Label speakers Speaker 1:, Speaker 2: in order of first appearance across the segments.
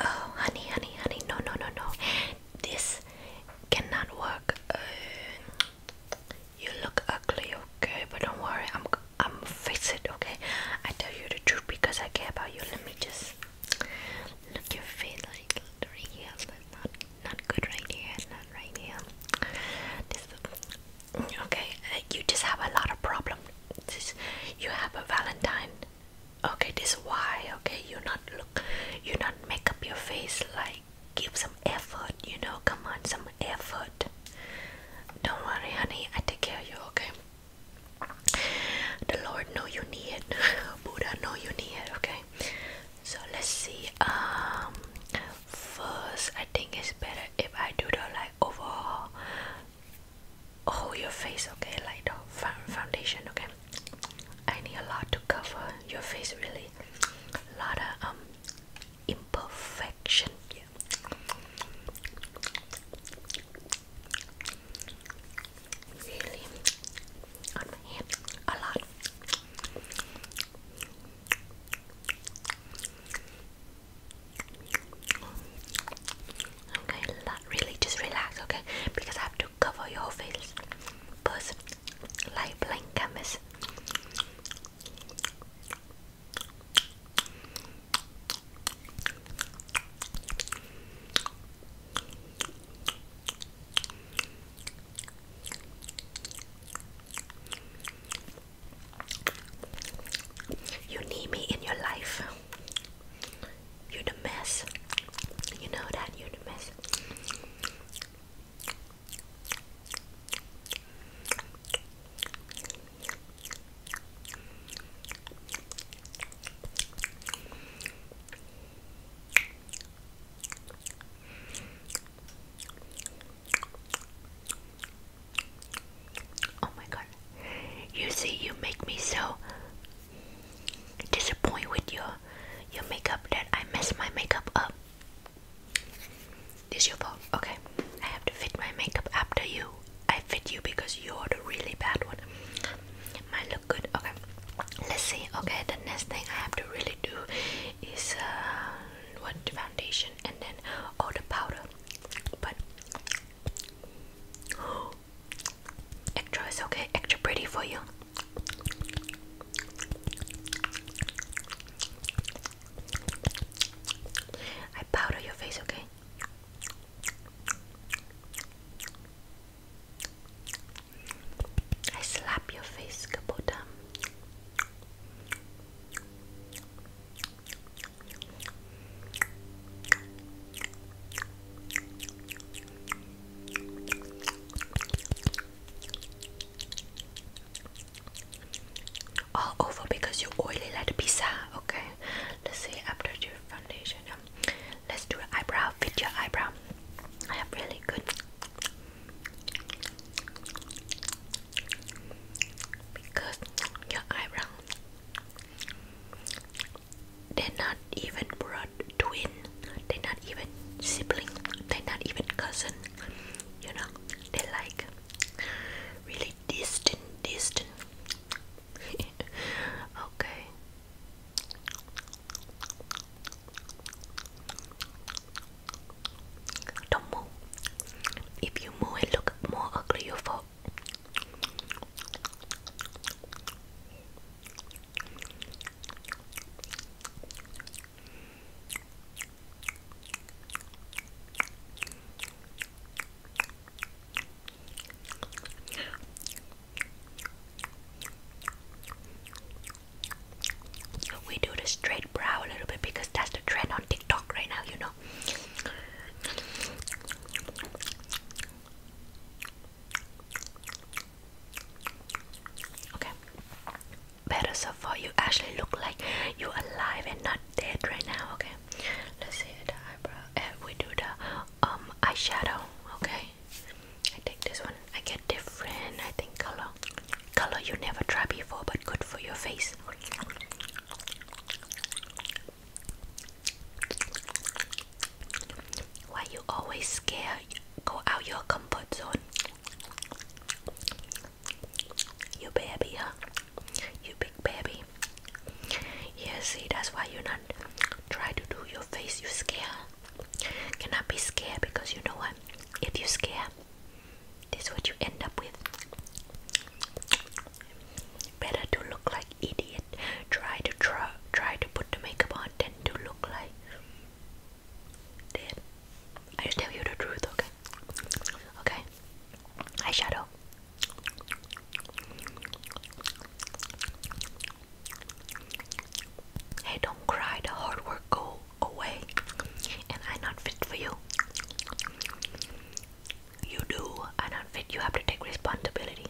Speaker 1: Oh, honey, honey, honey, no, no, no, no. This cannot work. Uh, you look ugly, okay? But don't worry, I'm I'm fix it, okay? I tell you the truth because I care about you. Let me just look your face like right here. Not not good right here. Not right here. okay. Uh, you just have a lot of problems. you have a Valentine okay this is why okay you not look you not make up your face like give some effort you know come on some effort don't worry honey i take care of you okay the lord know you need it buddha know you need it okay so let's see um first i think it's better if i do the like overall Oh, your face, okay, like the foundation, okay. I need a lot to cover your face, really. A lot of um imperfection. Yeah. Really, on my hand, a lot. Okay, really just relax, okay? Because I have to cover your face first, like blank canvas. You need me in your life. You're the mess. You know that you're the mess. Oh my god. You see you make me so disappointed with your your makeup that I mess my makeup up. This your fault. Okay. I have to fit my makeup after you. I fit you because you're the really bad one. Mine look good. Okay. Let's see. Okay, the next thing I have to really do is uh what foundation and then all the powder. But Extra is okay, extra pretty for you. I powder your face, okay? I slap your face, Kabota. All over because you oily like pizza. Okay, let's see after your foundation. Um, let's do an eyebrow. Fit your eyebrow. I have really good. Because your eyebrow they're not even blood twin. They're not even sibling. They're not even cousin. You know, they're like really distant, distant. okay. Don't move. If you move, it look more ugly. You fall we do the straight brow a little bit because that's the trend on TikTok right now, you know. Okay. Better so far. You actually look like you're alive and not dead right now. Okay. Let's see the eyebrow. And eh, we do the um eyeshadow. Okay. I take this one. I get different. I think color. Color you never tried before, but good for your face. Why you always scared? Go out your comfort zone. You baby, huh? You big baby. Yeah, see, that's why you not try to do your face. You scare. Cannot be scared because you know what? If you scare, this is what you end up with. Better to look like idiot. Try to try, try to put the makeup on than to look like dead. I just tell you the truth, okay? Okay. Eyeshadow. Hey, don't cry. The hard work go away, and i not fit for you you do and an outfit, you have to take responsibility.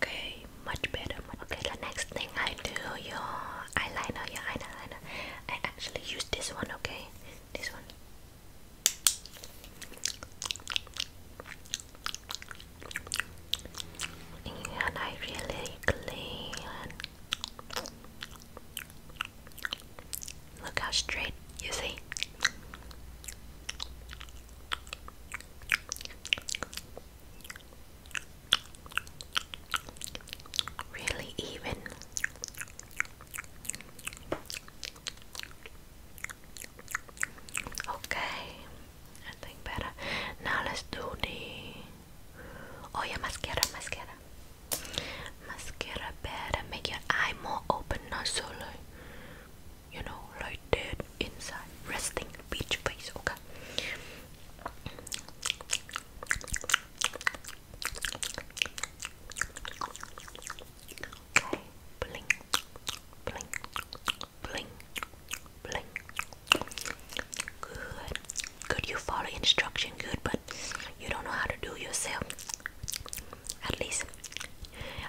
Speaker 1: Okay, much better. Okay, the next thing I do your eyeliner, your eyeliner. I actually use this one. Okay, this one and I really clean. Look how straight you see. Really even. Okay, I think better. Now let's do the. Oh yeah, mascara, mascara, mascara. Better make your eye more open, not so like, you know, like dead inside, resting beach face. Okay. Okay, blink, blink, Bling, bling. Good. Good. You follow instruction good, but you don't know how to do yourself. At least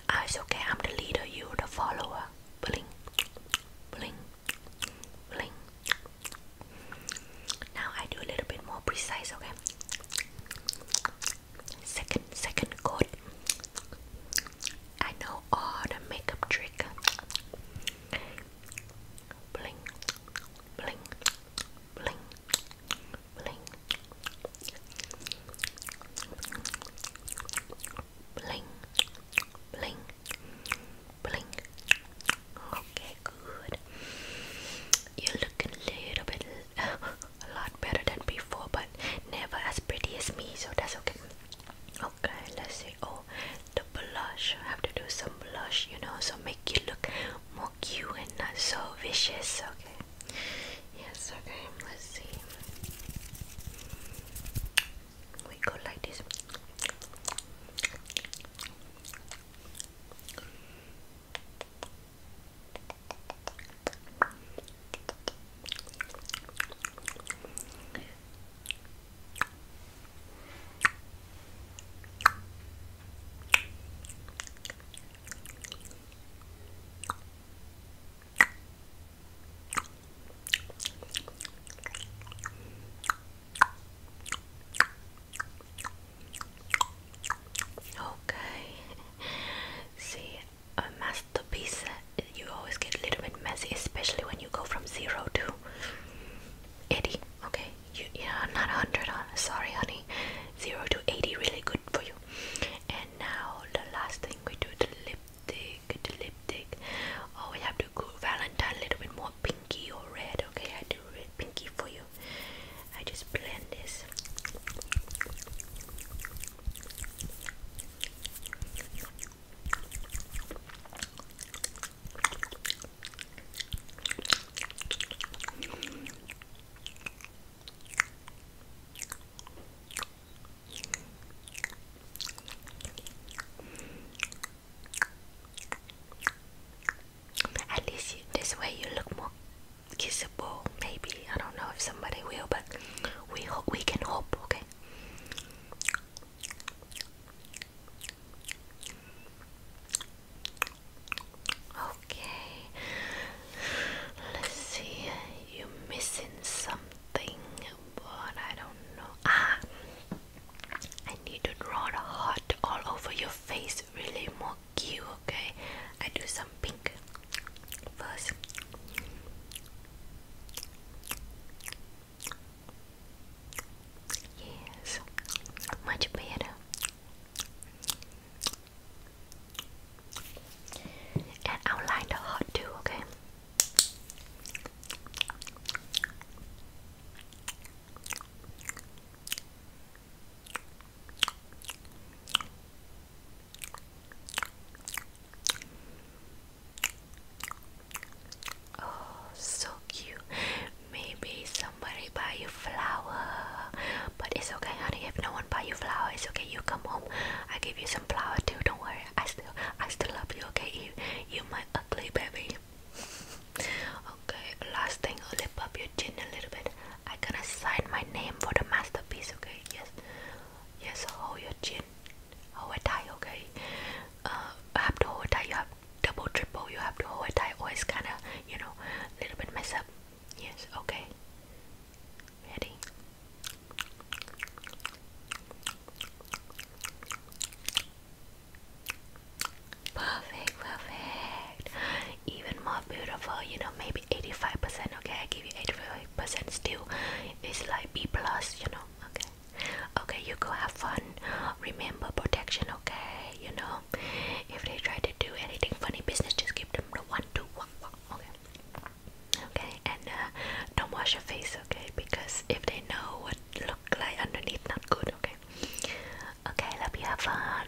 Speaker 1: uh, it's okay. I'm the leader. You are the follower. Bling, bling, bling. Now I do a little bit more precise. Okay. Second, second chord. I know all the makeup trick. Bling, bling, bling, bling, bling, bling, bling. Okay, good. You look a little bit, a lot better than before, but never as pretty as me, so that's okay. Okay, let's see. oh, the blush. I have to do some blush, you know, so make you look more cute and not so vicious. Okay. Yes. Okay. Let's see. We go like this. Okay. See, a masterpiece you always get a little bit messy especially when you go from 0 to 80 okay you, you know not 100 uh, sorry honey 0 to 80 really good for you and now the last thing we do the lipstick the lipstick oh we have to go valentine a little bit more pinky or red okay I do red pinky for you I just blend this at least this way you look more kissable. Maybe I don't know if somebody will, but we hope we can hope. Okay. Okay. Let's see. you missing something, but I don't know. Ah. I need to draw the all over your face, really more cute, okay? I do some pink Fuzz. Yes, much better. And outline the heart too, okay? Oh, so cute. Maybe somebody buy you flower, but it's okay, honey. If no one buy you flower, it's okay. You come home, I give you some flower too. Don't worry. I still, I still love you. Okay, you, you my ugly baby. okay, last thing, I'll lip up your chin a little bit. I'm gonna sign my name for the masterpiece, okay? Yes, yes, hold your chin, hold it tight, okay? Uh, have to hold it tight, you have double, triple, you have to hold it tight, or it's kinda, you know, a little bit mess up. Yes, okay. Ready? Perfect, perfect. Even more beautiful, you know, maybe 85% okay i give you 85% still it's like b plus you know okay okay you go have fun remember protection okay you know if they try to do anything funny business just give them the one two one one okay okay and uh, don't wash your face okay because if they know what look like underneath not good okay okay love you have fun